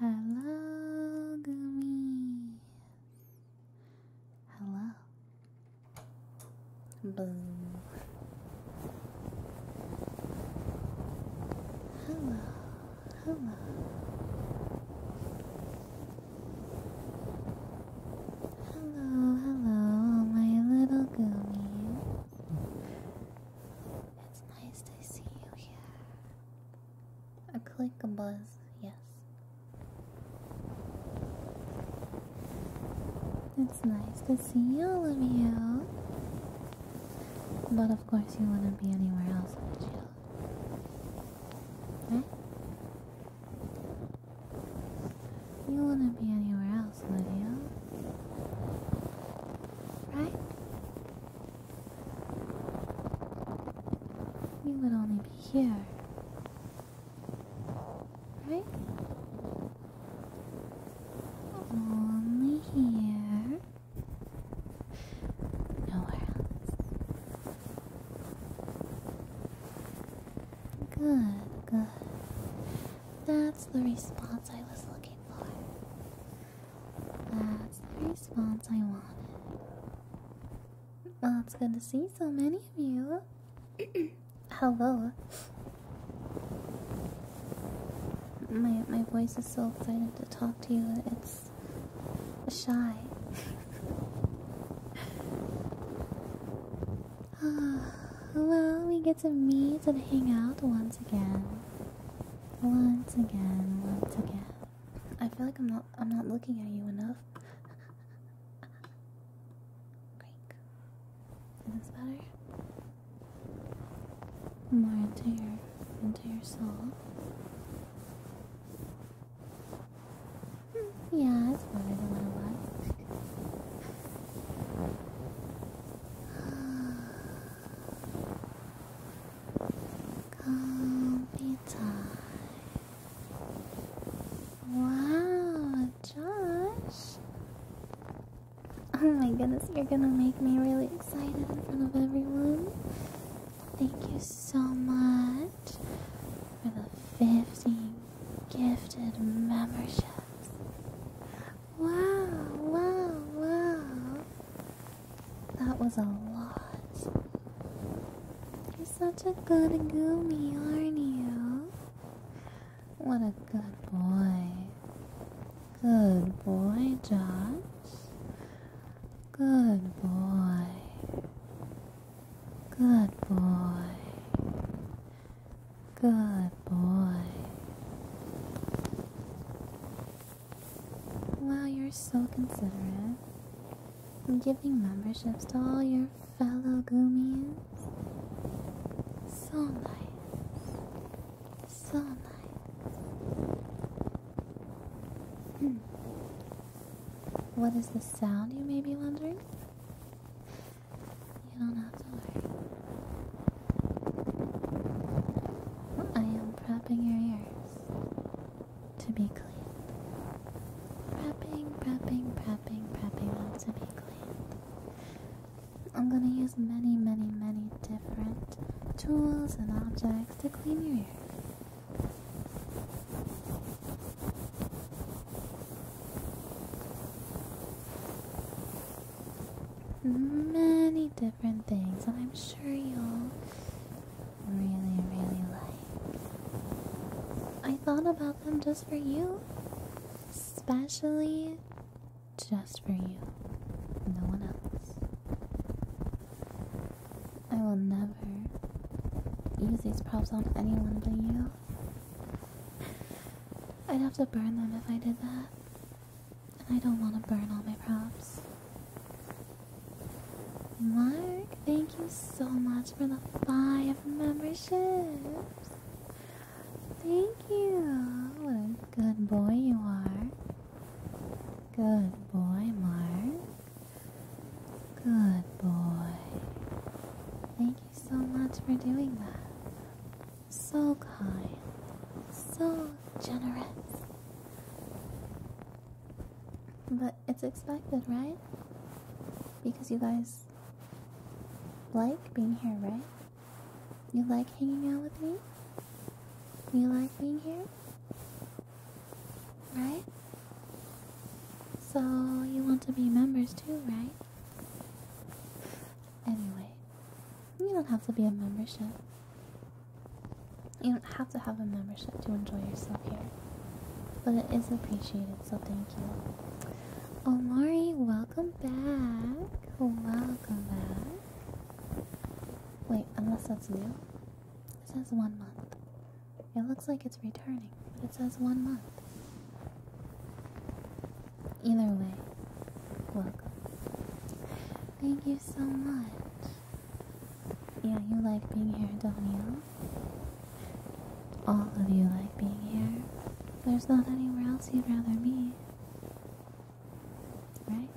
Hello, gummies. Hello. Boom. Hello. Hello. Hello, hello, all my little gummies. It's nice to see you here. A click, a buzz, yes. It's nice to see all of you. But of course, you wouldn't be anywhere else, would you? Right? You wouldn't be anywhere else, Lydia. Right? You would only be here. Right? Only here. Nowhere else. Good, good. That's the response I was looking for. That's the response I wanted. Well, it's good to see so many of you. Hello. My my voice is so excited to talk to you. It's shy. well, we get to meet and hang out once again. Once again, once again. I feel like I'm not I'm not looking at you enough. Great. Is this better? More into your into your soul. Hmm, yeah, it's better than what I was. Calm be Wow, Josh. Oh my goodness, you're gonna make me really excited in front of everyone. Thank you so much for the 50 gifted memberships. Wow, wow, wow. That was a lot. You're such a good goomy, aren't you? What a good boy. Good boy, Josh. Good boy. Good boy. Good boy. Wow, you're so considerate giving memberships to all your fellow Goomies. So nice. So nice. Hmm. What is the sound, you may be wondering? You don't have to worry. I am propping your ears to be clean. Prepping, prepping, prepping, prepping to be clean. I'm gonna use many, many, many different tools and objects to clean your ears. Many different things, and I'm sure you'll really, really like. I thought about them just for you. Especially just for you. No one else. I will never use these props on anyone but you. I'd have to burn them if I did that. And I don't want to burn all my props. Mark, thank you so much for the five memberships. Thank you. good boy you are. Good boy, Mark. Good boy. Thank you so much for doing that. So kind. So generous. But it's expected, right? Because you guys like being here, right? You like hanging out with me? You like being here? Right? So you want to be members too, right? Anyway, you don't have to be a membership. You don't have to have a membership to enjoy yourself here. But it is appreciated, so thank you. Omari, welcome back. Welcome back. Wait, unless that's new. It says one month. It looks like it's returning, but it says one month. Either way, welcome. Thank you so much. Yeah, you like being here, don't you? All of you like being here. There's not anywhere else you'd rather be. Right?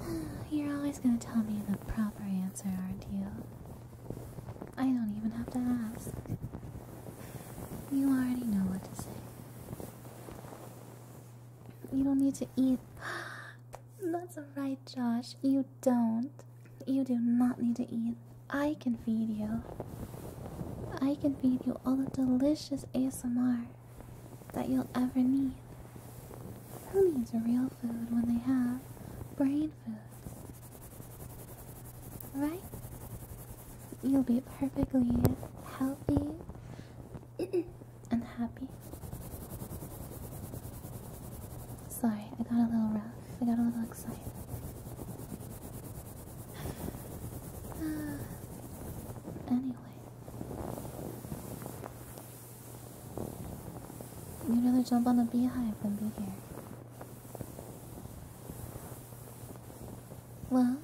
Right? You're always gonna tell me the proper answer, aren't you? I don't even have to ask. You already know what to say. You don't need to eat. That's alright, Josh. You don't. You do not need to eat. I can feed you. I can feed you all the delicious ASMR that you'll ever need. Who needs real food when they have brain food? Right? You'll be perfectly healthy. and happy. Sorry, I got a little rough. I got a little excited. anyway, you'd rather jump on a beehive than be here. Well,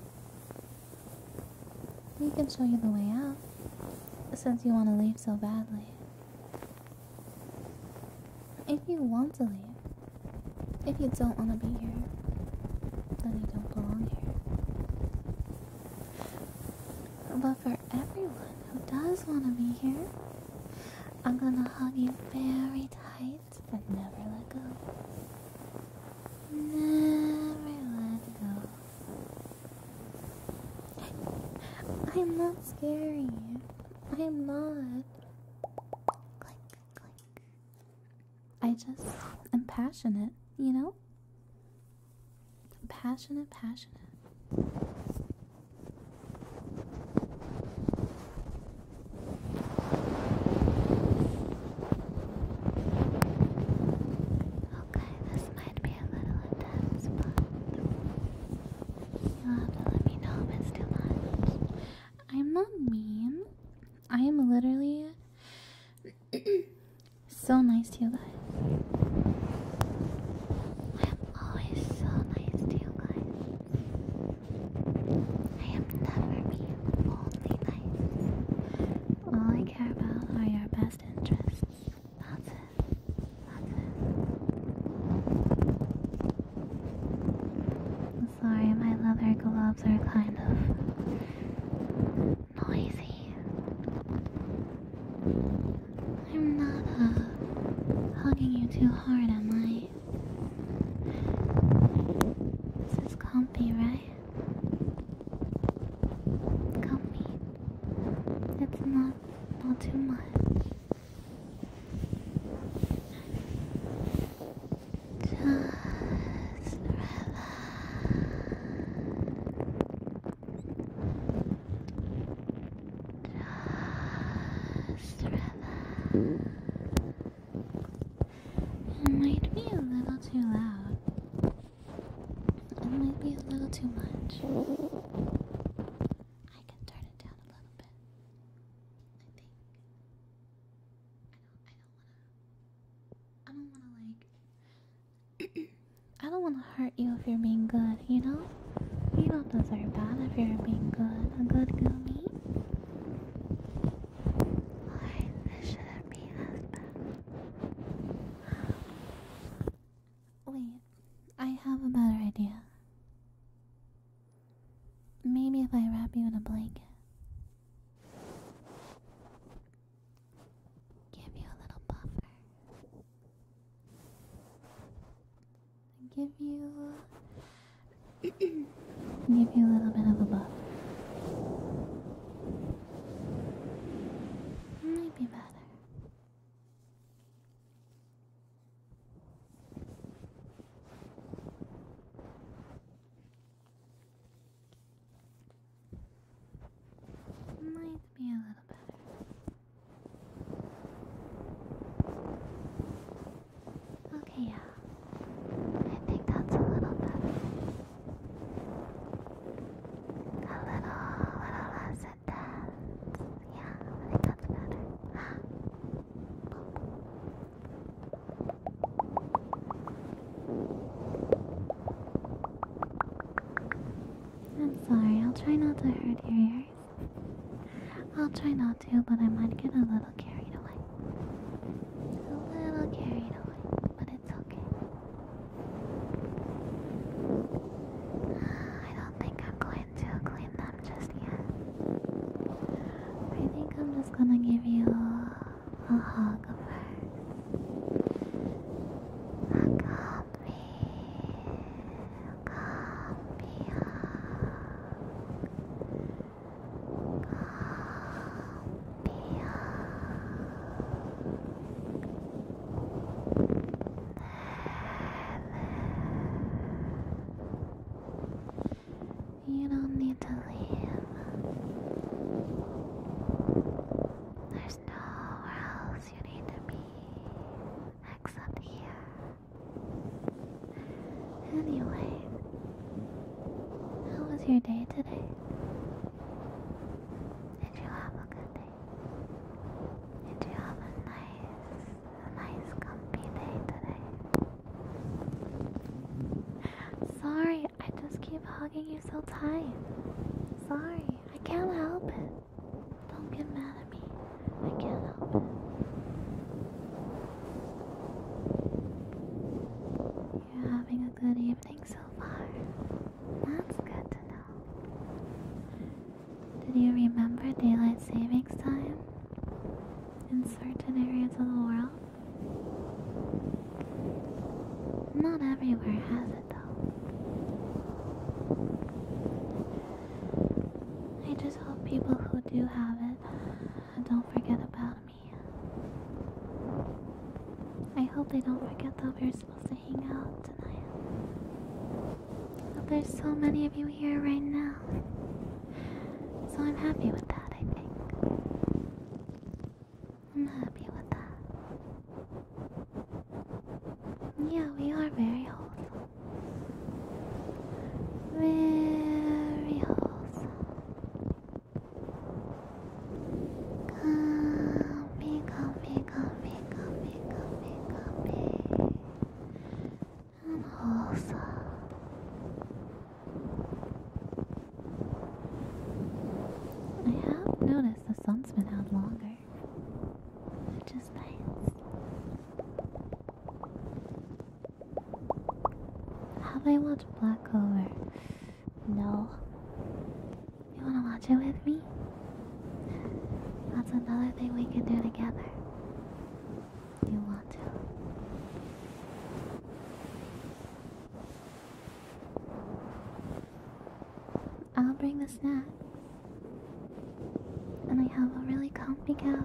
we can show you the way out since you want to leave so badly. If you want to leave, if you don't want to be here, then you don't belong here. But for everyone who does want to be here, I'm gonna hug you very tight and never let go. Never let go. I'm not scary. I'm not. Click, click. I just am passionate, you know? Passionate, passionate. Okay, this might be a little intense, but you have to let me know if it's too much. I'm not mean. I am literally so nice to you guys. I am always so nice to you guys. I am never mean, only nice. All I care about are your best interests. That's it sorry, my leather gloves are kind of noisy. I'm not uh, hugging you too hard, am I? This is comfy, right? Comfy. It's not not too much. Just relax. Just relax. It might be a little too loud. It might be a little too much. I can turn it down a little bit. I think. I don't. I don't wanna. I don't wanna like. I don't wanna hurt you if you're being good. You know. You don't deserve that if you're being good. A good gummy. Why this shouldn't be as bad. Wait, I have a better idea. Maybe if I wrap you in a blanket, give you a little buffer, give you, give you a little bit of a buffer. Might be better. Might be a little better. Okay, yeah. I think that's a little better. A little, little less I am sorry, I'll try not to hurt your ears. I'll try not to, but I might get a little carried away. A little carried away, but it's okay. I do do think I'm going to clean them just yet. I think I'm just gonna give you a hug first. Hug on me. Hug on you don't need to leave. There's nowhere else you need to be except here. Anyway, how was your day today? Did you have a good day? Did you have a nice a nice comfy day today. Sorry, I just keep hugging you so tight. Sorry, I can't help it. Don't get mad at me. I can't help it. You're having a good evening so far. That's good to know. Did you remember daylight savings time in certain areas of the world? Not everywhere has it though. I just hope people who do have it don't forget about me. I hope they don't forget that we're supposed to hang out tonight. But there's so many of you here right now. So I'm happy with that, I think. I'm happy with that. Yeah, we are very wholesome. Very wholesome. Comfy, comfy, comfy, comfy, comfy, comfy and wholesome. I have noticed the sun's been out longer, which is nice. Have I watched Black Clover? No. You wanna watch it with me? That's another thing we can do together you want to. I'll bring the snack. And I have a really comfy couch.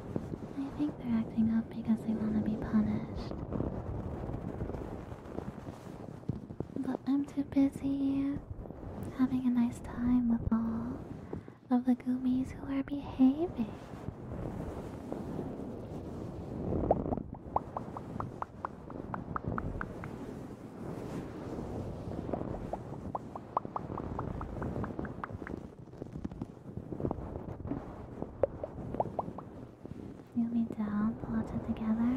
I think they're acting up because they want to be punished. But I'm too busy having a nice time with all of the gummies who are behaving. Feel me down, pull it together.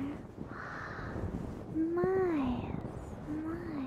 Nice, nice. Relax, relax.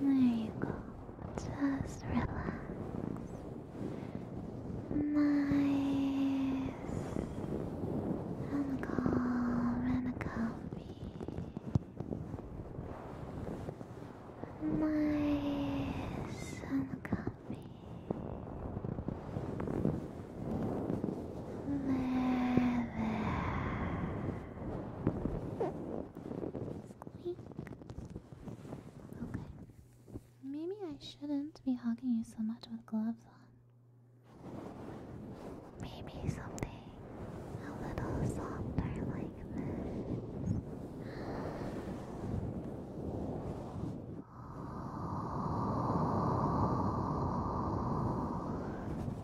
There you go. Just relax. Nice and calm and comfy. Nice and comfy. There, there. Maybe I shouldn't be hugging you so much with gloves on. Maybe something a little softer like this.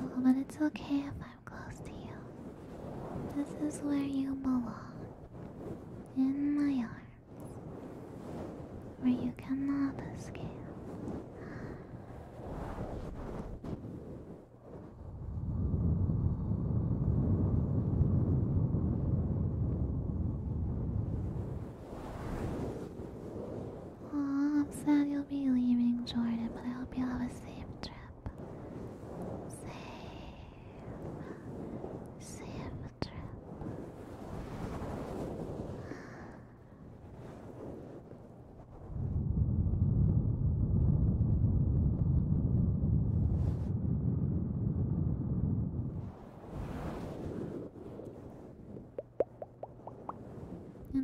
Oh, but it's okay if I'm close to you. This is where you belong. In my arms where you cannot escape. Oh, I'm sad you'll be leaving Jordan, but I hope you'll have a safe trip. Safe. Safe trip.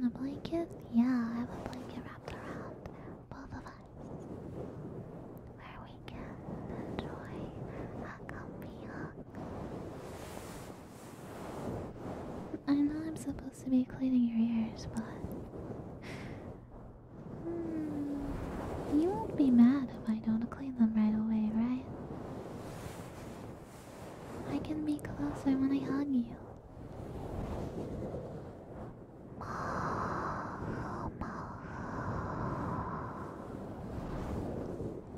a blanket? Yeah, I have a blanket wrapped around both of us. Where we I know I'm supposed to be cleaning your ears, but hmm, you won't be mad if I don't clean them right away, right? I can be closer when I hug you.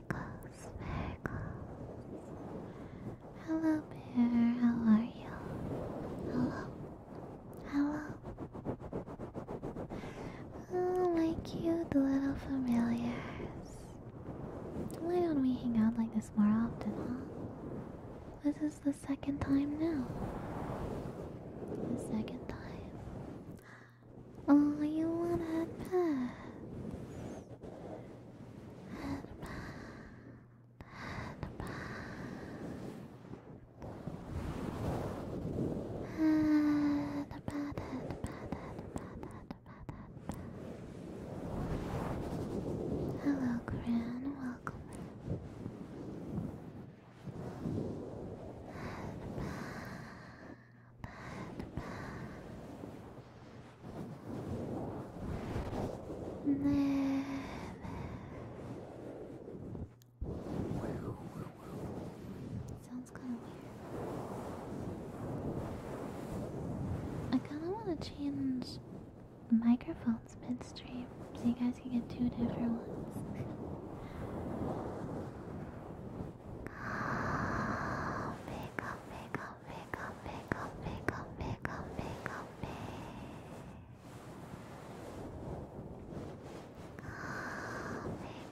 Miracles, miracles. Hello, Bear, how are you? Hello, hello. Oh, my cute little familiars. Why don't we hang out like this more often, huh? This is the second time now. The second time. Oh, you want to headpats? Hello, crown. Welcome. Sounds kind of weird. I kind of want to change microphones midstream so you guys can get two different ones. oh, big come, come, come,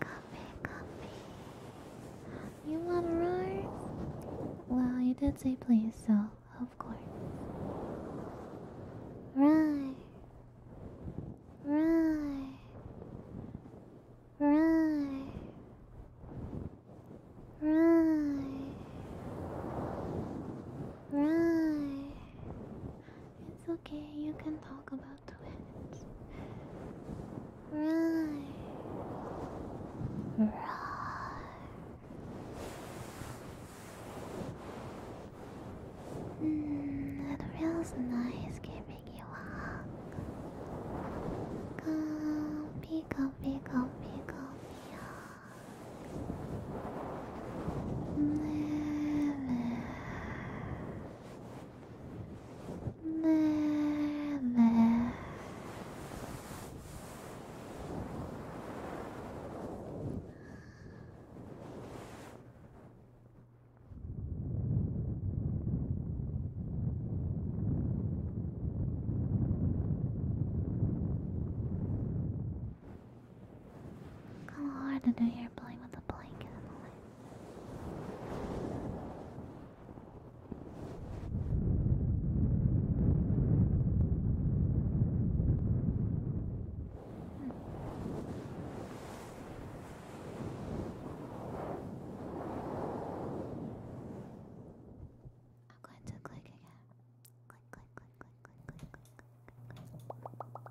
come, come, come. You want a ride? Well, you did say please, so of course. Right. Right. Right. Right. Right. It's okay, you can talk about it. Right. Right. Mm, it feels nice giving you a hug. Comfy, comfy, comfy, comfy. Never, Kinda hard to do here playing with a blanket hmm. I'm going to click again i click, click, click,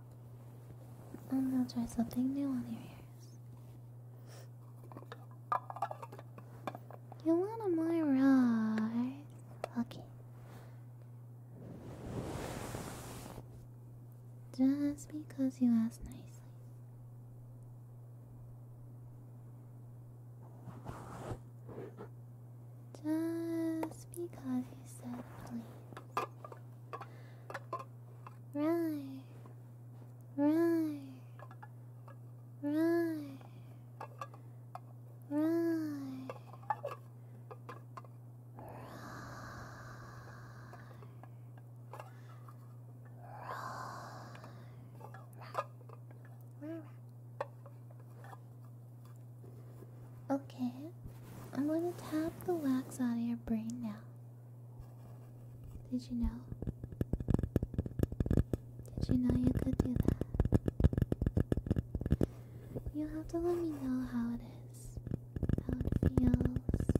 will try something new on your ears. You want to my right? Okay. Just because you asked nicely. Just because you said please. Right. Right. Right. Right. Right. Okay, I'm going to tap the wax out of your brain now. Did you know? Did you know you could do that? You'll have to let me know how it is, how it feels.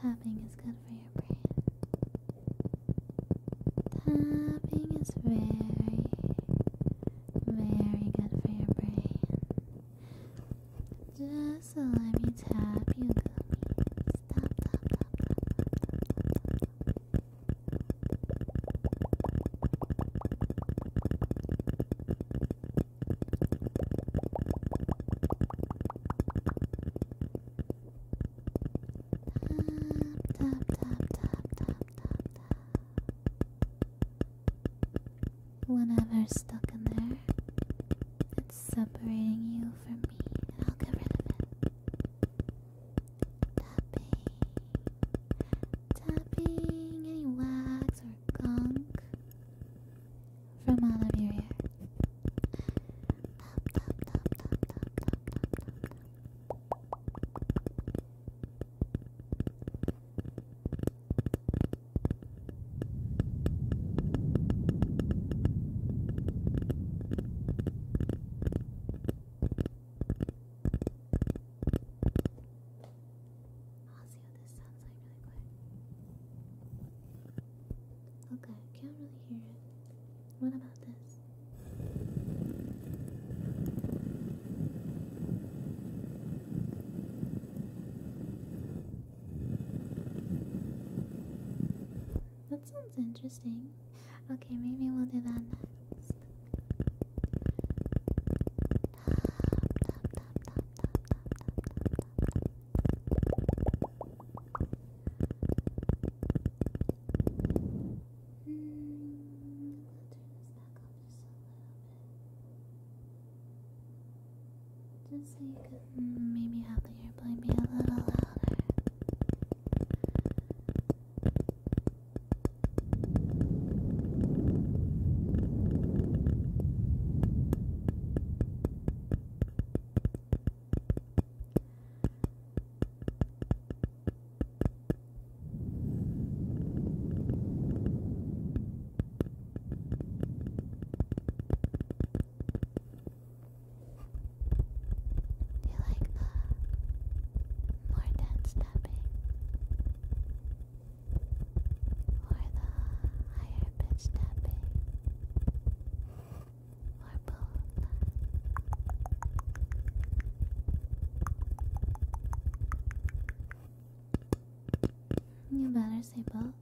Tapping is good for your brain. Tapping is very, very good for your brain. Just let me tap you, Tap, tap, tap, tap, tap, tap. Whenever stuck in there, it's separating you from me, and I'll get rid of it. Tapping, tapping any wax or gunk from out of your ear. I'll see what this sounds like really quick. Okay, I can't really hear it. What about this? That sounds interesting. Okay, maybe we'll do that next. Hmm, just so you can maybe have the airplane be a little louder. Do you like more dense tapping or the higher pitch tapping or both? You better say both.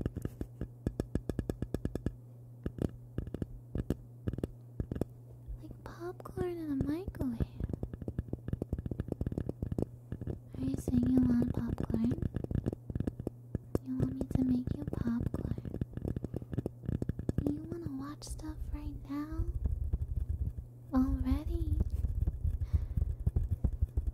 Like popcorn in a microwave. Are you saying you want popcorn? You want me to make you popcorn? You want to watch stuff right now? Already?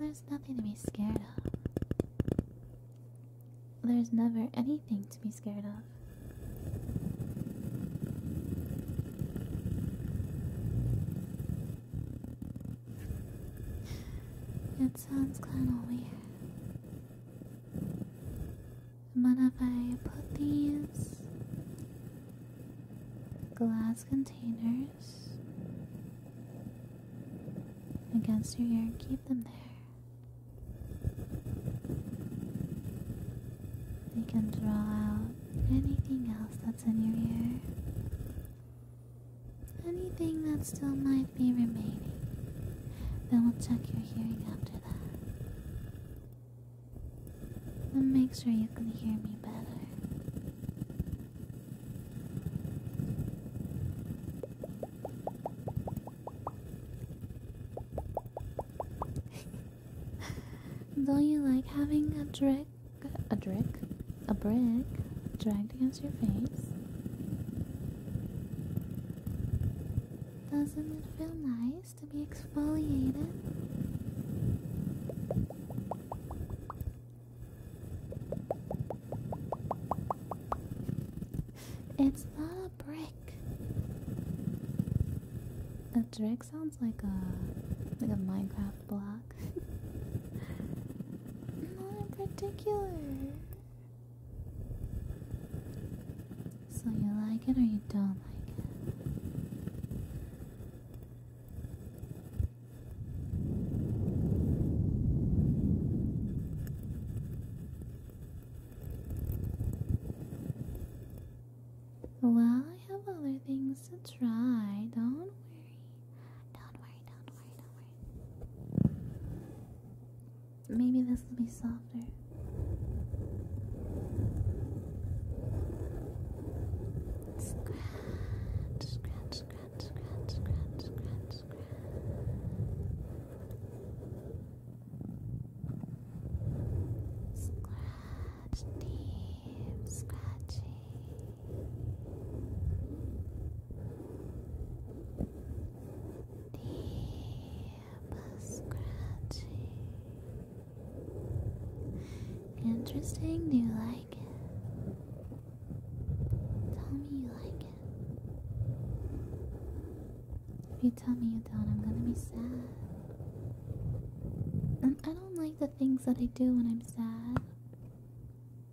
There's nothing to be scared of. There's never anything to be scared of. It That sounds kind of weird. But if I put these glass containers against your ear and keep them there, you can draw out anything else that's in your ear. Anything that still might be remaining, then we'll check your hearing after that. And make sure you can hear me better. Don't you like having a drick, a drick, a brick dragged against? Doesn't it feel nice to be exfoliated? It's not a brick. A brick sounds like a like a Minecraft block. not in particular. So you like it or you don't like it? Well, I have other things to try. Don't worry. Don't worry, don't worry, don't worry. Maybe this will be softer. Scratch, scratch, scratch, scratch, scratch, scratch, scratch. deep, scratchy deep scratching. Interesting, do you like it? Tell me you like it. If you tell me you don't, I'm gonna be sad. And I don't like the things that I do when I'm sad.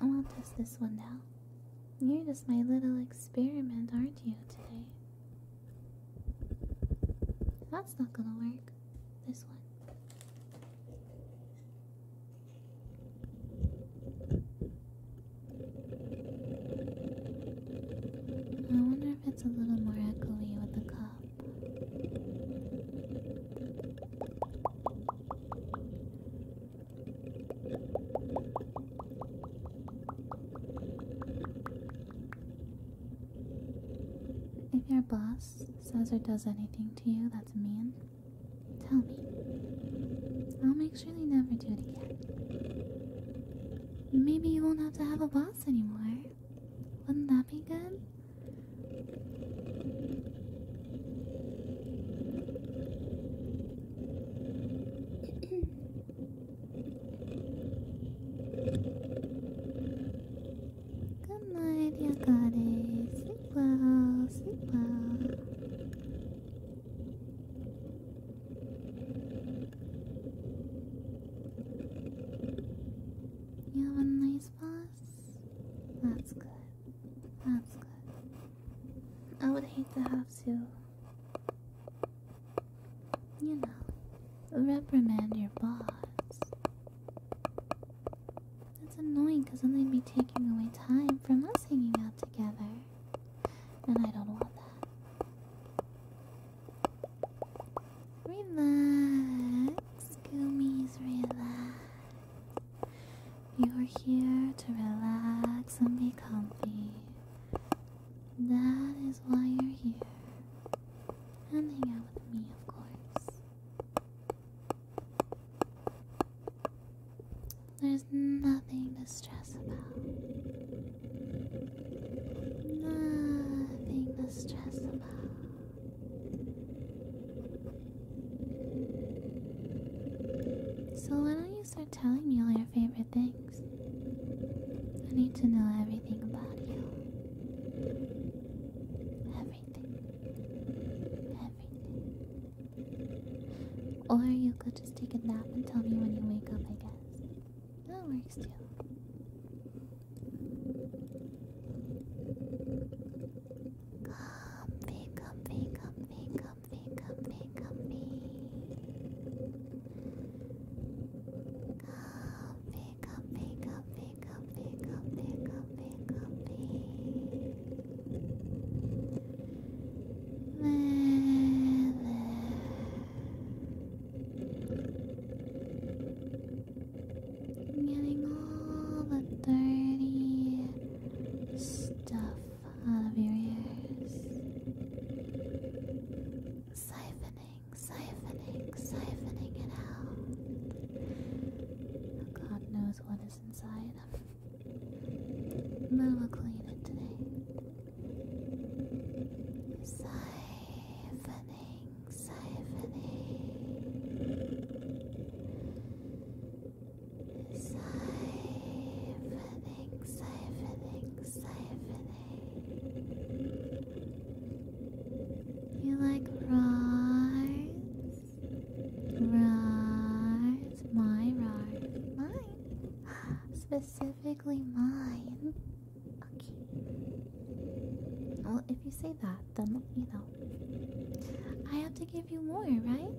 I will test this one now. You're just my little experiment, aren't you, today? That's not gonna work. This one. I wonder if it's a little more echoey with the cup. If your boss says or does anything to you that's mean, tell me. I'll make sure they never do it again. Maybe you won't have to have a boss anymore. Wouldn't that be good? Good night, you got Sleep well, sleep well. You have a nice boss? That's good. That's good. I would hate to have to, you know, reprimand your boss. That's annoying because then they'd be taking away time from us hanging out together. And I don't want that. Relax, Goomies, relax. You are here to relax and be comfy. That is why you're here. And hang out with me, of course. There's nothing to stress about. Nothing to stress about. So why don't you start telling me all your favorite things? I need to know everything about you. Everything. Everything. Or you could just take a nap and tell me when you wake up, I guess. That works too. Comfy, comfy, comfy, comfy comfy, comfy, comfy. Comfy, comfy, comfy, comfy, comfy, comfy, comfy. Getting all the dirty stuff out of your ears. Siphoning, siphoning, siphoning it out. Oh, God knows what is inside. But we'll clean it today. Siphoning, siphoning. Siphoning, siphoning, siphoning. You like roars? Roars, my roars, mine. Specifically mine. Okay. Well, if you say that, then you know. I have to give you more, right?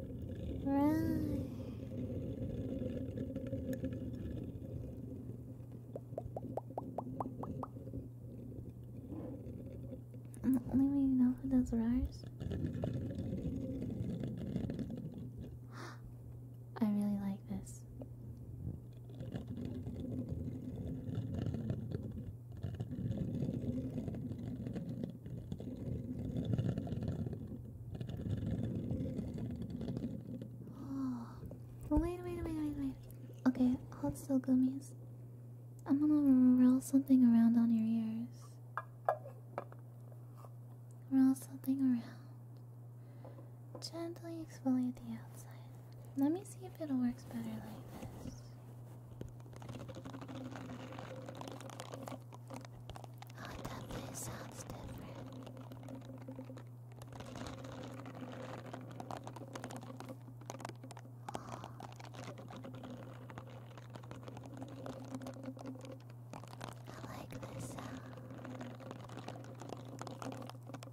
Right. I'm only waiting out for those I really like this wait, wait, wait, wait, wait. Okay, hold still, gummies. I'm gonna roll something around on your ears. Roll something around. Gently exfoliate the outside. Let me see if it works better like this. Oh, it definitely sounds different. Oh. I like this sound.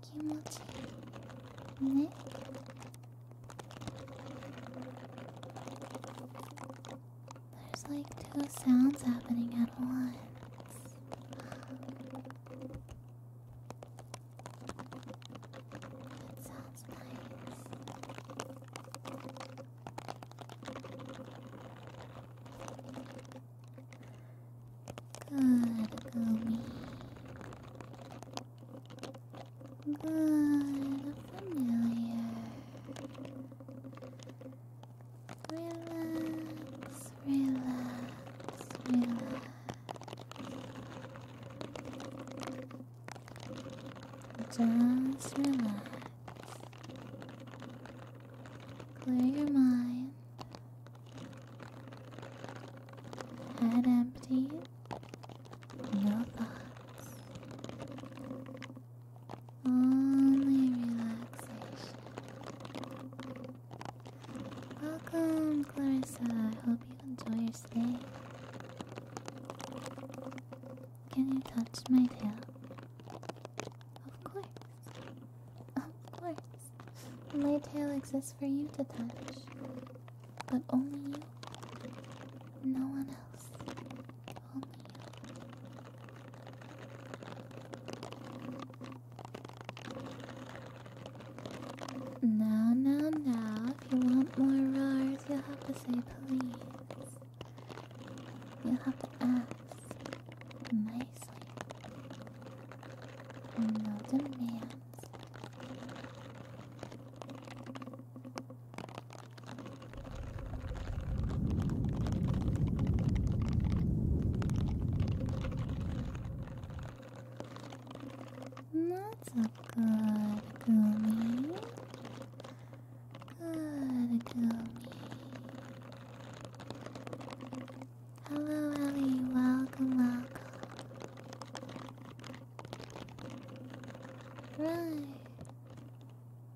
気持ちいいね。There's like two sounds happening at once. sounds nice. Good, Gumi. Good, familiar. Relax, relax, relax. Just relax. Clear your mind. and empty. your thoughts. Only relaxation. Welcome, Clarissa. I hope you enjoy your stay. Can you touch my tail? Of course. Of course. My tail exists for you to touch. But only you. No one else. Now, now, now, if you want more roars, you'll have to say please. You'll have to ask nicely. No demands. That's a good gummy. Good gummy. Hello, Ellie. Welcome, welcome. Right.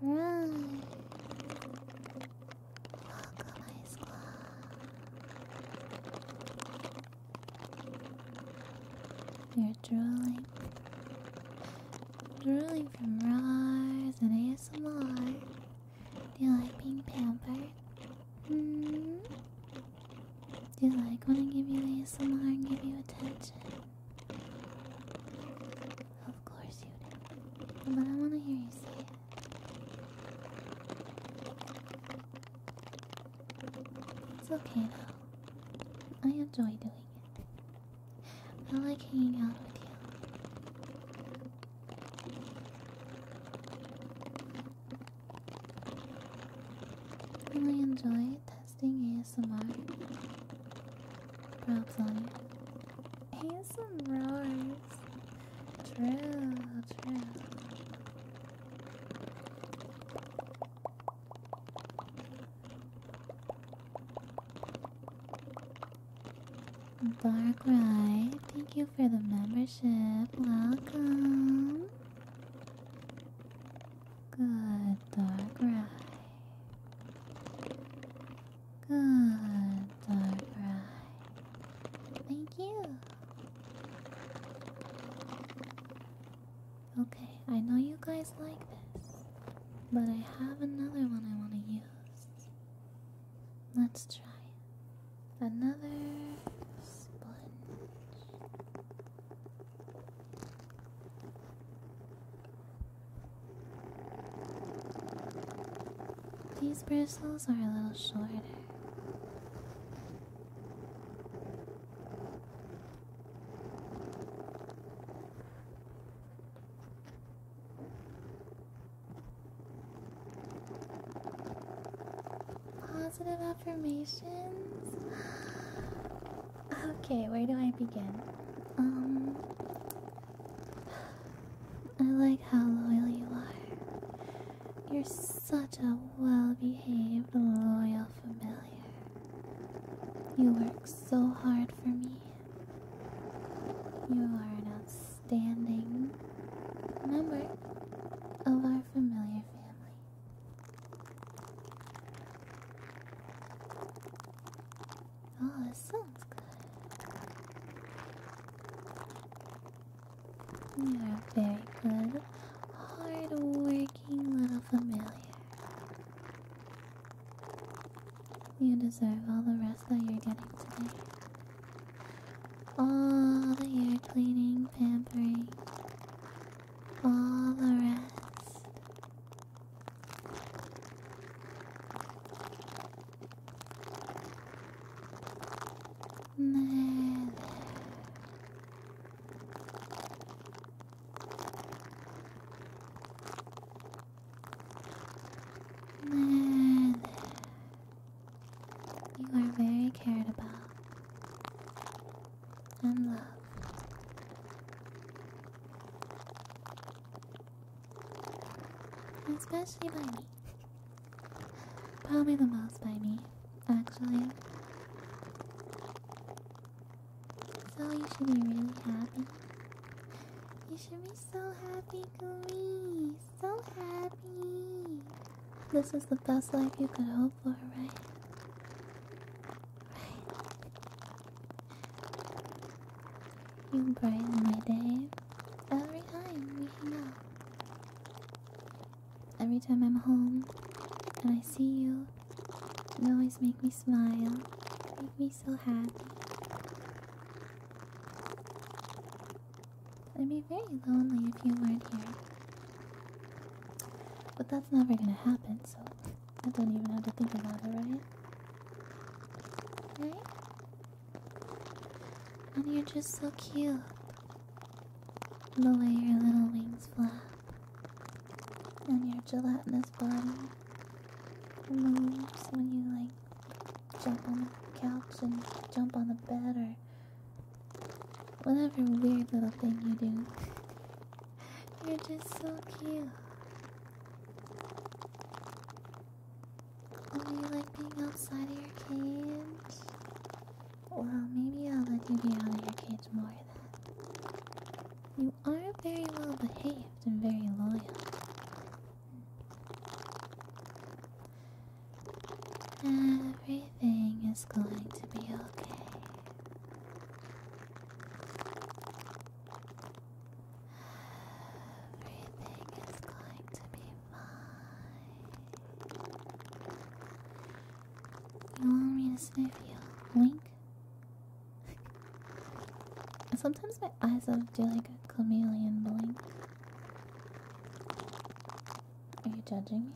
Right. Welcome, Ice Claw. You're drooling. Drooling from Rise and ASMR. Do you like being pampered? Hmm? Do you like when I give you ASMR and give you attention? Of course you do. But I want to hear you say it. It's okay though. I enjoy doing it. I like hanging out with you. I enjoy testing ASMR rubs on you. ASM roars. True, true. Dark Ride, thank you for the membership. Welcome. Good Dark Ride. Good, alright. Thank you. Okay, I know you guys like this, but I have another one I want to use. Let's try Another sponge. These bristles are a little shorter. Positive affirmations? Okay, where do I begin? Um, I like how loyal you are. You're such a well behaved, loyal familiar. You work so hard for me. You are an outstanding member of our familiar family. Oh, that sounds good. You're a very good, hard little familiar. You deserve all the rest that you're getting today. All the ear cleaning, pampering, all the rest. ねえねえねえねえ You are very cared about and loved Especially by me. Probably the most by me, actually. So you should be really happy. You should be so happy, Glee. So happy. This is the best life you could hope for, right? Right. You brighten my day every time we hang out. Every time I'm home and I see you, you always make me smile, make me so happy. I'd be very lonely if you weren't here. But that's never gonna happen, so I don't even have to think about it, right? Right? And you're just so cute. The way your little wings flap, and your gelatinous body moves when you like jump on the couch and jump on the bed or whatever weird little thing you do. You're just so cute. Do you like being outside of your cage? Well, maybe I'll let you be out of your cage more then. You are very well behaved and very loyal. Everything is going to be okay. Everything is going to be fine. You want me to sniff you? Wink? Sometimes my eyes will do like a chameleon blink. Are you judging me?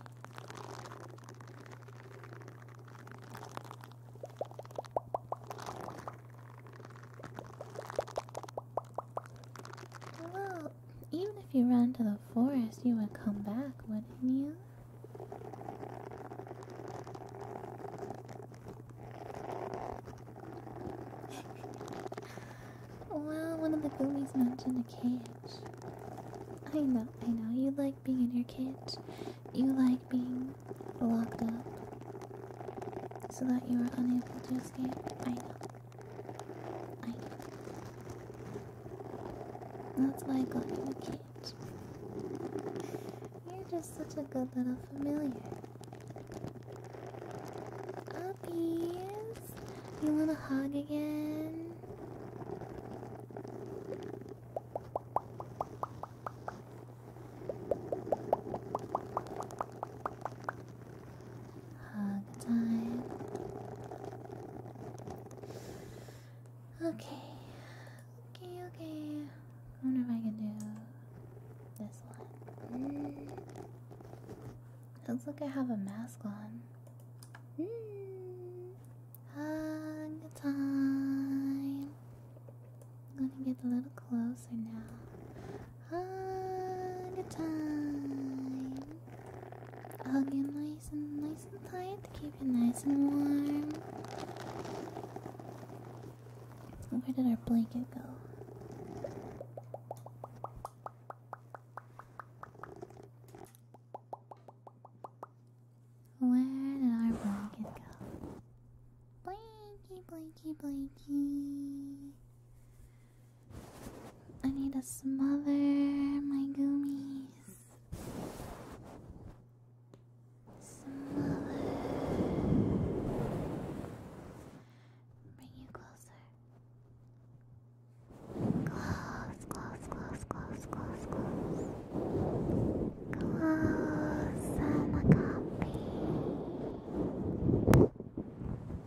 Well, even if you ran to the forest, you would come back, wouldn't you? well, one of the goomies mentioned a cage. I know, I know. You like being in your cage. You like being locked up so that you were unable to escape. I know. I know. That's why I got you a cage. You're just such a good little familiar. Uppies! You want a hug again? Hug time. Okay. Okay, okay. wonder if I can do this one. Mm. Looks like I have a mask on. Mm. Hug time. I'm gonna get a little closer now all the time. Hug you nice and nice and tight to keep you nice and warm. Where did our blanket go? Where did our blanket go? Blanky, blanky, blanky. I need to smother my gummies. Smother. Bring you closer. Close, close, close, close, close, close. Close, I'm a copy.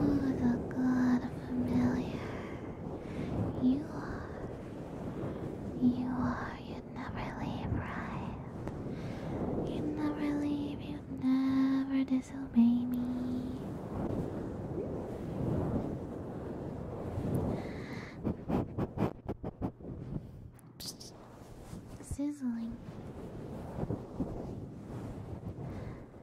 Oh, the god of familiar. You are. You are. You'd never leave, right? You'd never leave. You'd never disobey me. Sizzling. I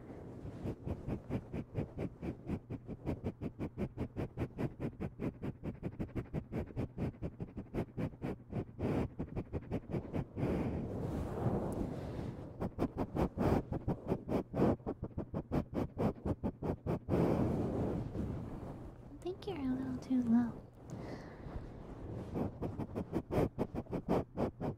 think you're a little too low.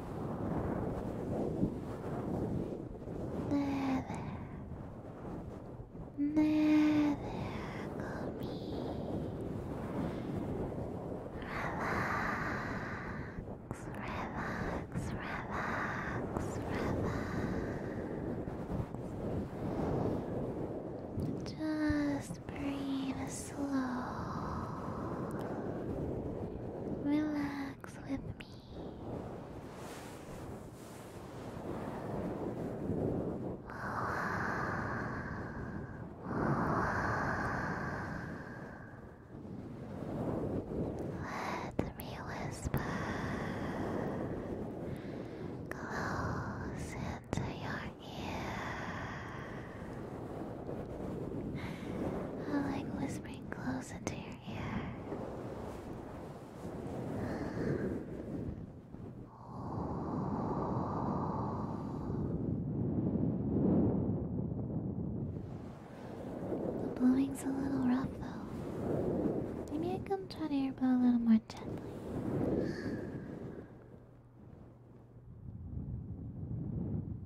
ねえねえねえゴミリラックスリラックスリラックスリラックス just breathe slow relax with me let me whisper close into your ear. I like whispering close into your the blowing's a little rough though. Maybe I can try to blow a little more gently.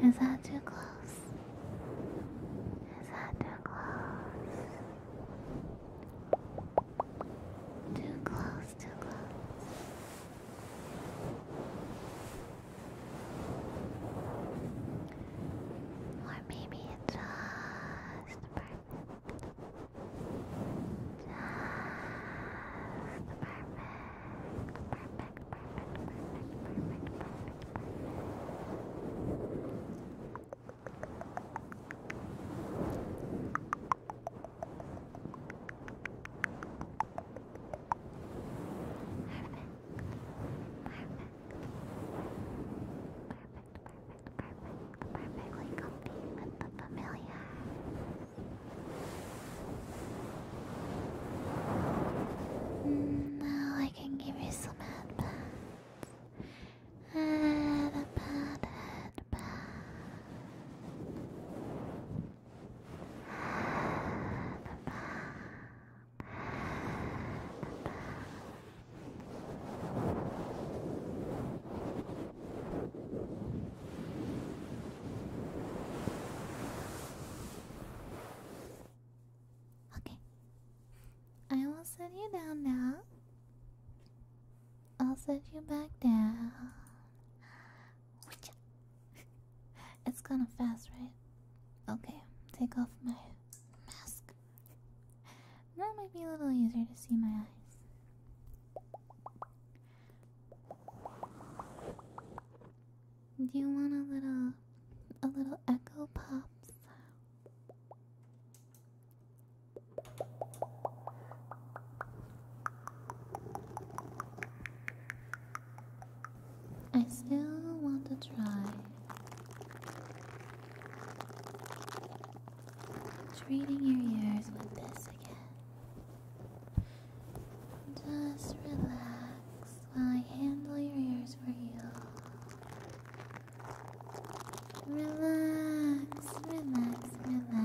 Is that too close? Is that too close? Too close, too close. Or maybe it's just perfect. Just perfect. Perfect, perfect, perfect, perfect, perfect, perfect, perfectly comfy with the familiar. Now I can give you some uh, headbands. Headband, headband. Okay. I will set you down now. I'll set you back down. It's kind of fast, right? Okay, take off my mask. That might be a little easier to see my eyes. Do you want a little a little echo pops? I still want to try treating your ears with this again. Just relax while I handle your ears for you. Relax, relax, relax.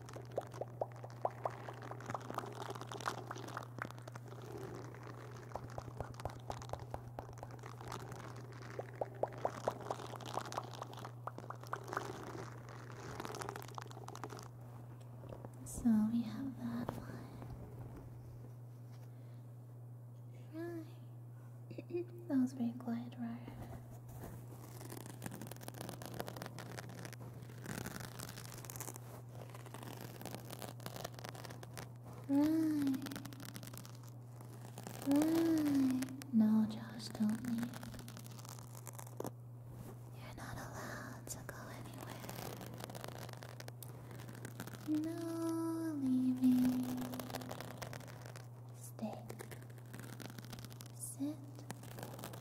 So we have that one. Right. that was very quiet, right? Right. Right. No, just don't leave. You're not allowed to go anywhere. No leaving. Stay. Sit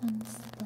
and stay.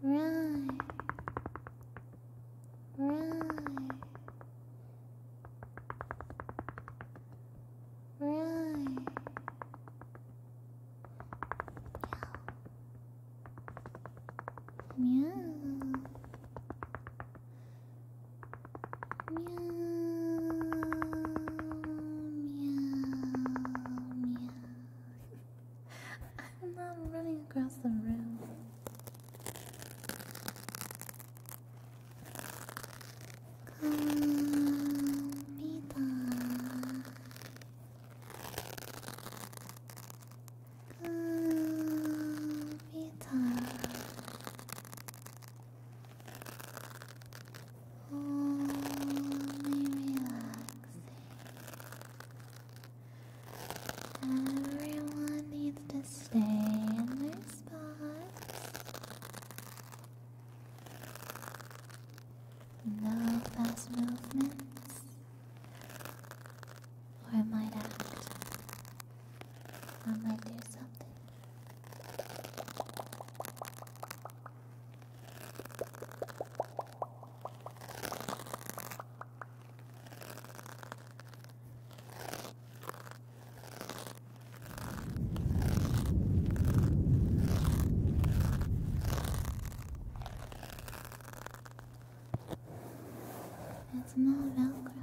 Right. Right. Right. Meow. Meow. Meow. Meow. Meow. I'm not running across the room. Comida. Comida. Only relaxing. Everyone needs to stay in their spots. No fast movements, or I might act. I might do something. There's no Velcro.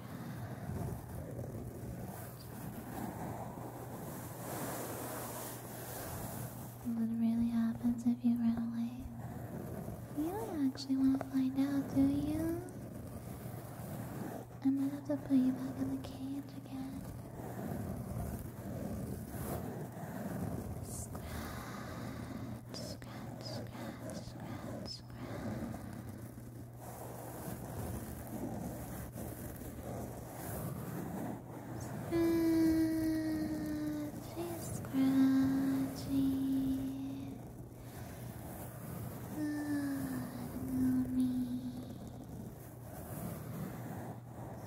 What really happens if you run away? You don't actually want to find out, do you? I might have to put you back in the cage again. Scratch, scratch, scratch, scratch, this way. Scratchy, scratchy. Good mommy.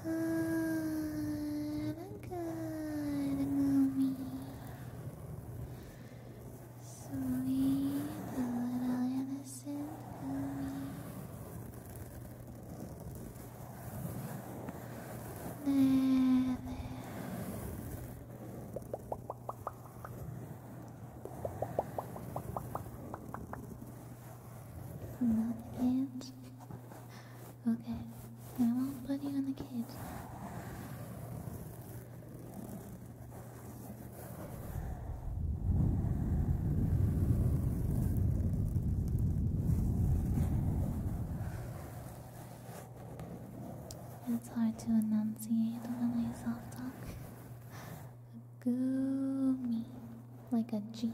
Good, good mommy. Sweet little innocent me. There, the cage? okay, I won't put you in the cage. It's hard to enunciate when I soft talk. Gumi, like a G.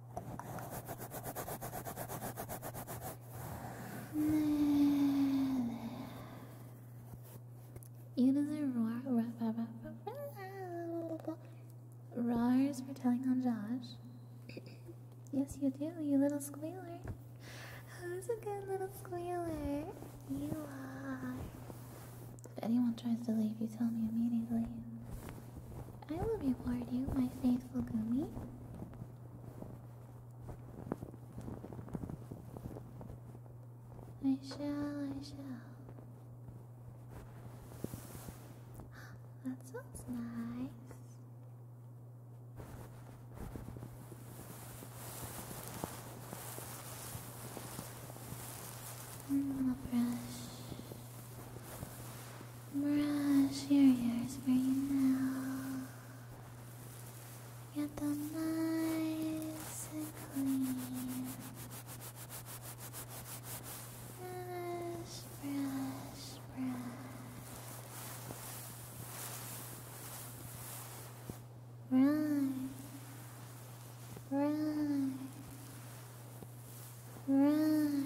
You deserve Rars for telling on Josh. yes, you do, you little squealer. Who's a good little squealer? You are. If anyone tries to leave, you tell me immediately. I will reward you, my faithful Gumi. I shall, I shall. that sounds nice. Mm, brush Brush your ears right now. Get them nice and clean. Brush, brush, brush. Run, run, run.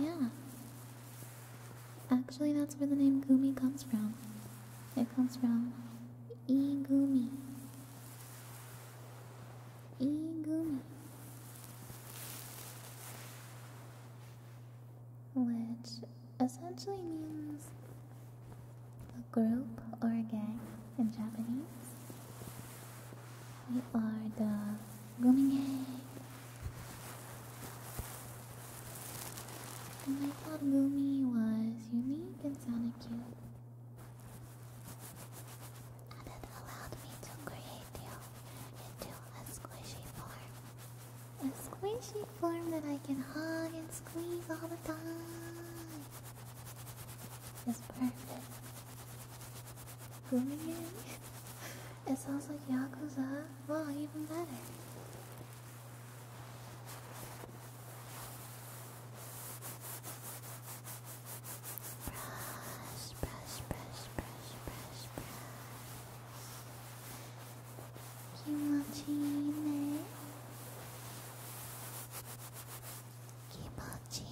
Yeah. Actually, that's where the name Gumi comes from. It comes from Igumi. Igumi. Which essentially means a group or a gang in Japanese. We are the Gumi Gang. And I thought Gumi was unique and sounded cute. And it allowed me to create you into a squishy form. A squishy form that I can hug and squeeze all the time. It's perfect. Grooming it? sounds like Yakuza. Well, even better. Brush, brush, brush, brush, brush, brush. Kimochi ne? 気持ちいい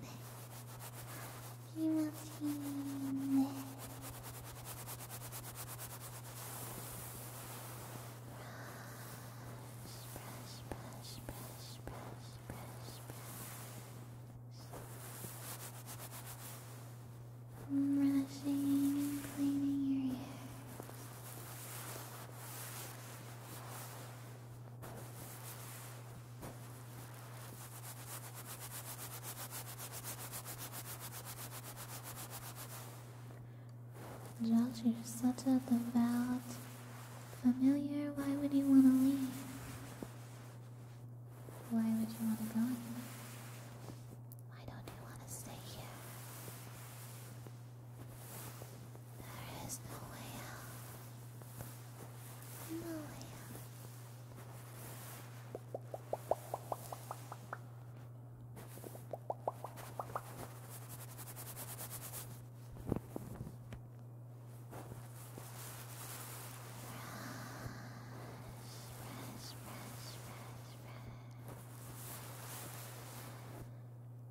ね気持ちいいね brushing and cleaning your ears Josh, you're such a devout familiar. Why would you want to leave? Why would you want to go anywhere? Why don't you want to stay here? There is no way out. No way out. Brush, brush, brush, brush.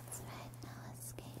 That's right, now escape.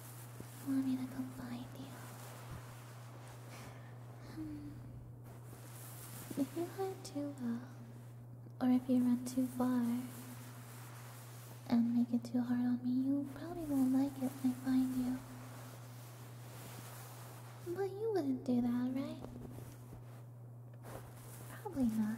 Want me to find you? Um, if you hide too well, or if you run too far and make it too hard on me, you probably won't like it when I find you. But you wouldn't do that, right? Probably not.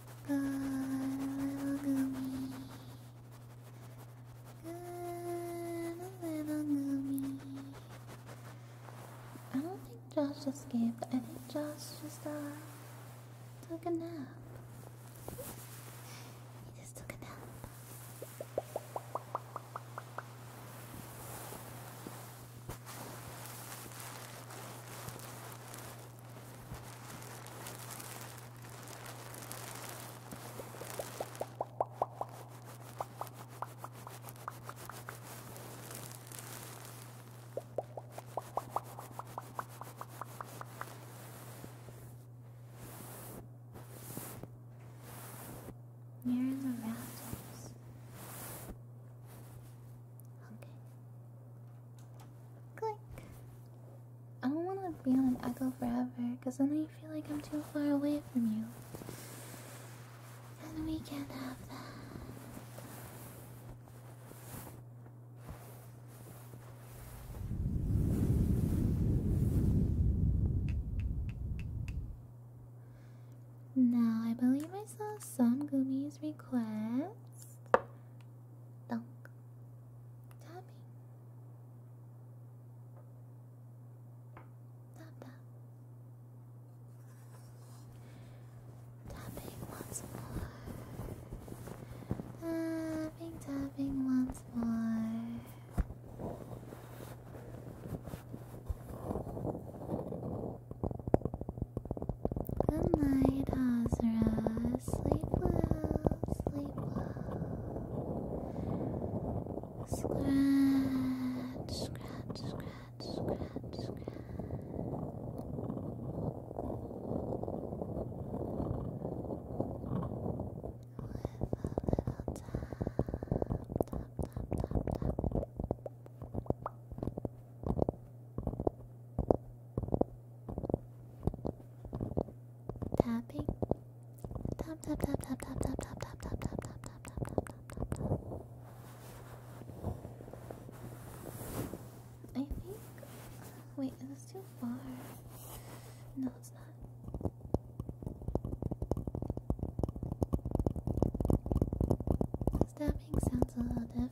Good little gummy. Good little gummy. I don't think Josh escaped. I think Josh just uh took a nap. He just took a nap. Here's the rafters. Okay. Click. I don't want to be on an echo forever because then I feel like I'm too far away from you. And we can't have that. Now, I believe I saw some Gumi's request dunk, tapping, tap tap, tapping once more, tapping, tapping once more. Good night, Azra. Sleep well, sleep well. Scratch, scratch, scratch, scratch, scratch. With a little tap, tap, tap, tap, tap. Tapping. Tap tap tap tap tap tap tap tap tap tap tap tap tap tap tap tap. I think. Wait, is this too far? No, it's not. Stabbing sounds a little different.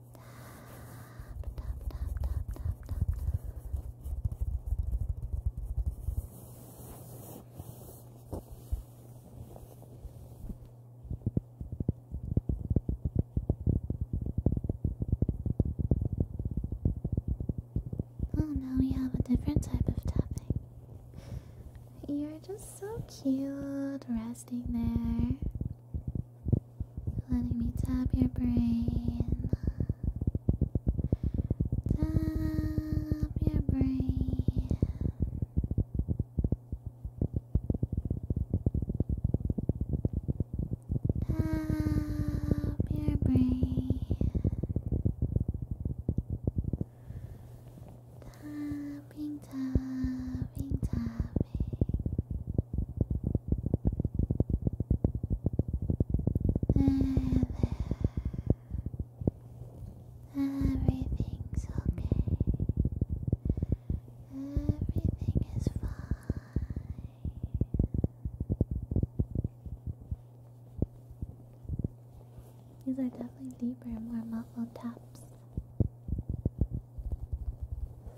Oh, now we have a different type of tapping. You're just so cute resting there. Letting me tap your brain. Tap your brain. Tap your brain. Tapping, tapping, tapping. Everything's okay. Everything is fine. These are definitely deeper and more muffled taps.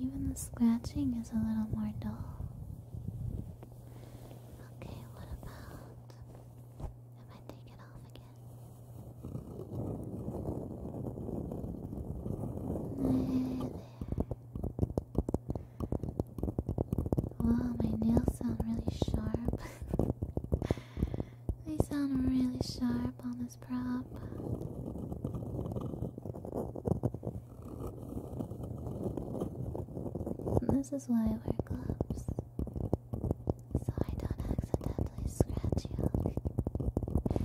Even the scratching is a little more dull. Okay, what about if I take off again? there. Wow, my nails sound really sharp. They sound really sharp on this prop. this is why I wear gloves. So I don't accidentally scratch you.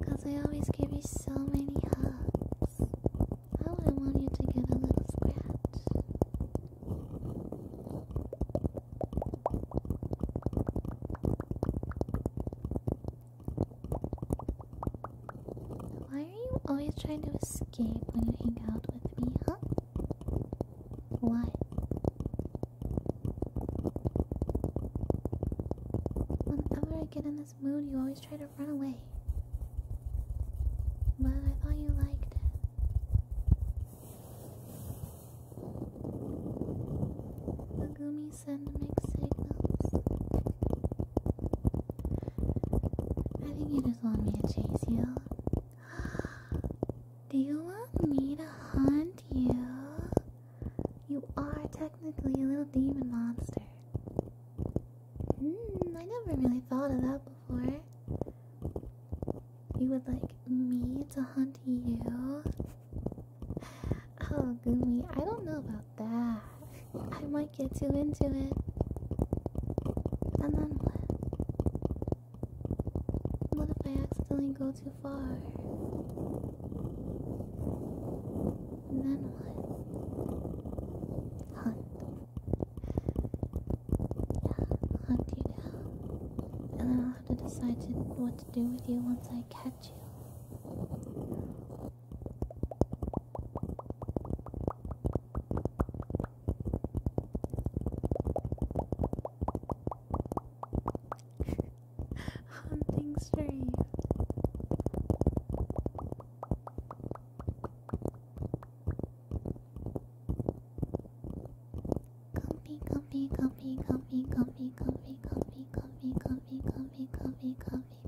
Because I always give you so many hugs. I wouldn't want you to get a little scratch. Why are you always trying to escape when you hang out with me, huh? Why? Whenever I get in this mood, you always try to run away. But I thought you liked it. The gummy send mixed signals. I think you just want me to chase you. Do you want me to hunt you? You are technically a little demon monster. Hmm, I never really thought of that before. You would like me to hunt you? Oh, Gumi, I don't know about that. I might get too into it. And then what? What if I accidentally go too far? then what? Hunt. Yeah, hunt you down. And then I'll have to decide what to do with you once I catch at you. Hunting stream. Comfy, comfy, comfy, comfy, comfy, comfy, comfy, comfy, comfy, comfy comfy, comfy, comfy, comfy, comfy.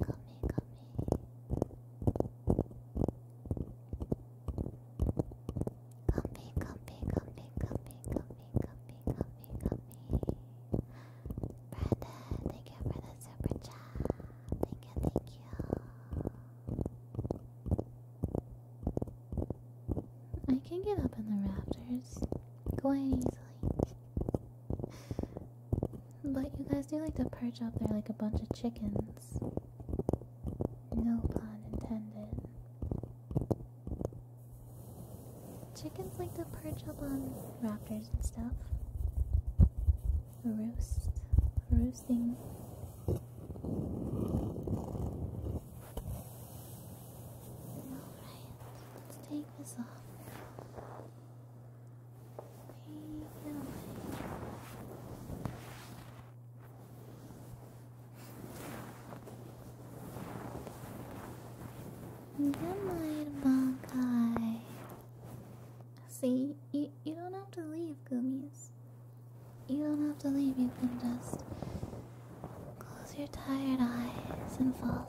Comfy, comfy, comfy, comfy, comfy, comfy, comfy, comfy. Brenda, thank you for the super chat. Thank you, thank you. I can get up in the rafters quite easily. But you guys do like to perch up there like a bunch of chickens. No pun intended. Chickens like to perch up on raptors and stuff. Roost. Roosting. Alright, let's take take this off. Take it away. Good See, you, you don't have to leave, Gummies. You don't have to leave, you can just close your tired eyes and fall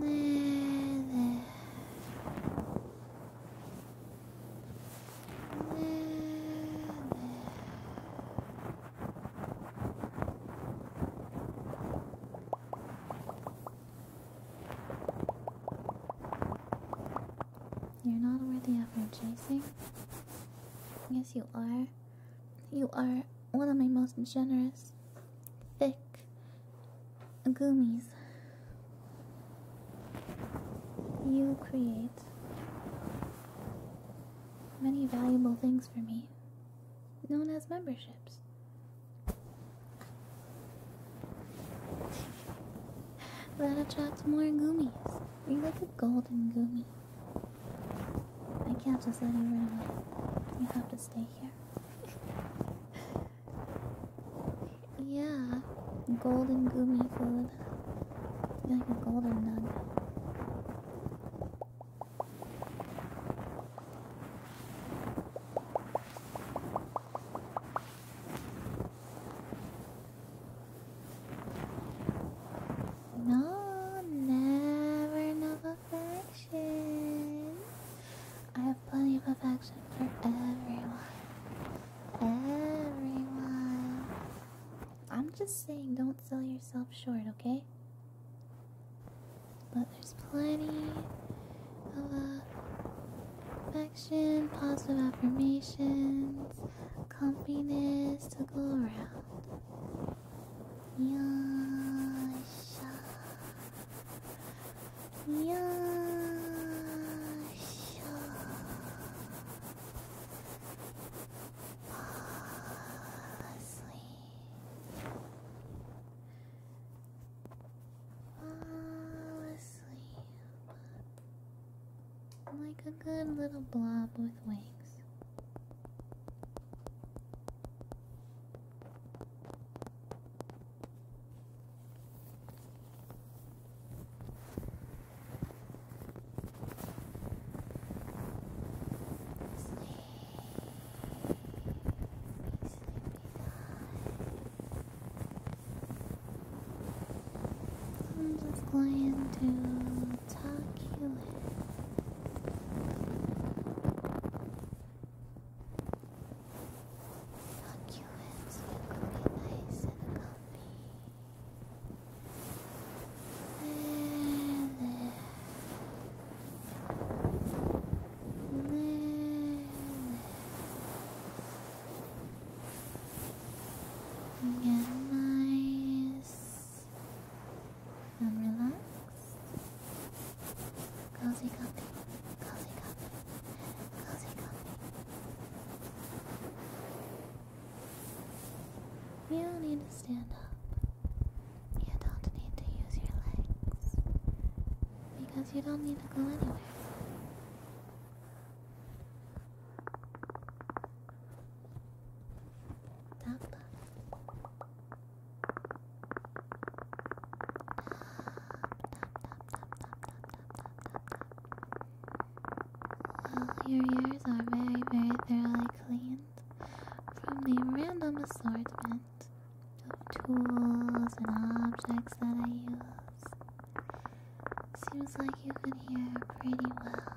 There, there. There, You're not worthy of your chasing? Yes, you are. You are one of my most generous thick gummies you create many valuable things for me known as memberships that attracts more gummies you like a golden gummy i can't just let you run away you have to stay here yeah, golden gummy food. Like a golden nugget. No, never enough I have plenty of affection for everyone. Everyone. I'm just saying, don't sell yourself short, okay? But there's plenty of affection, positive affirmations, comfiness to go around. Yasha. よーしょあーすいあーすい like a good little blob with wings I'm just going to tuck you in. Succulents look really nice and comfy. Get nice and relaxed cozy cozy cozy cozy you don't need to stand up you don't need to use your legs because you don't need to go anywhere Tap, well, your ears are very, very thoroughly cleaned from the random assortment of tools and objects that I use. Seems like you can hear pretty well.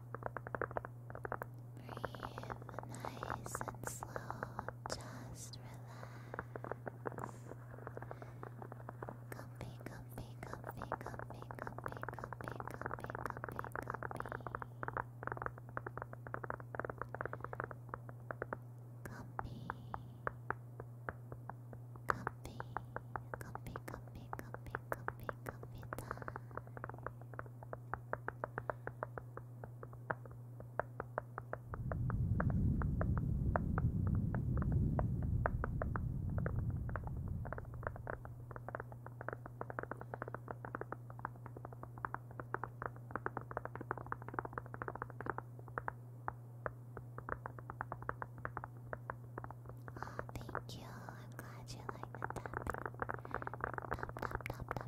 Breathe nice and slow, just relax. Comfy, comfy, comfy, comfy, comfy, comfy, comfy, comfy, comfy. Comfy, comfy, comfy, comfy, comfy, comfy, comfy time. Thank you. I'm glad you like the tapping. tap, tap, tap.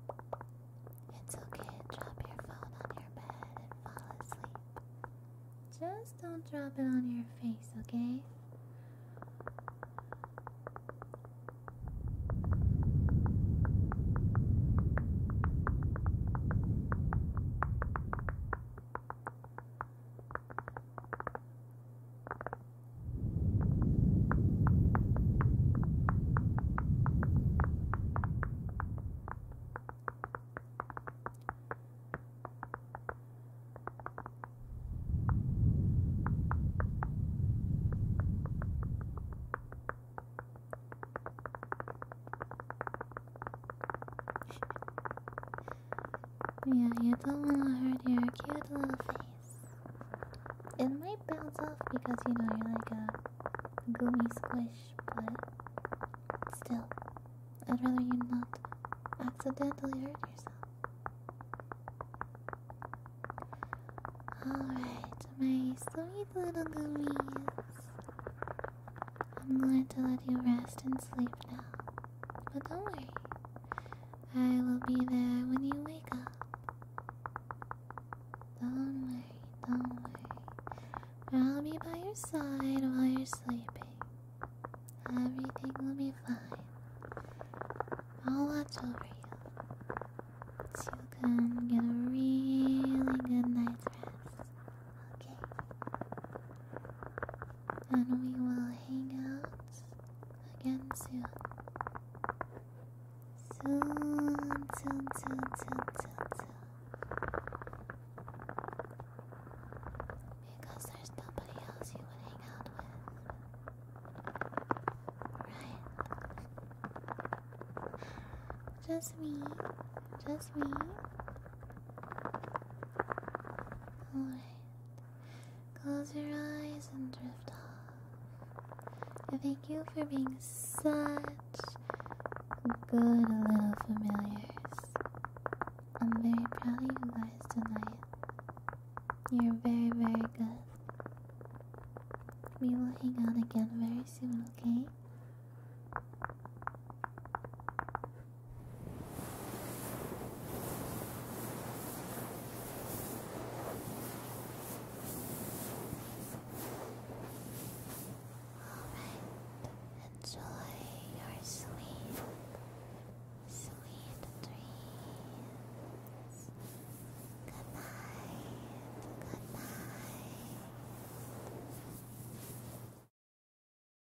It's okay drop your phone on your bed and fall asleep. Just don't drop it on your face, okay? yeah, you don't want to hurt your cute little face. It might bounce off because you know you're like a gooey squish, but still, I'd rather you not accidentally hurt yourself. Alright, my sweet little goomies. I'm going to let you rest and sleep now. But don't worry, I will be there when you wake up. Don't worry, don't worry. I'll be by your side while you're sleeping. Everything will be fine. I'll watch over you. So you can get a really good night's rest. Okay? And we will hang out again soon. Because there's nobody else you would hang out with. Right? Just me. Just me. Alright. Close your eyes and drift off. And thank you for being such good little familiars. I'm very proud of you guys tonight. You're very, very good. We will hang out again very soon, okay? Alright, enjoy your sweet, sweet dreams. Good night, good night.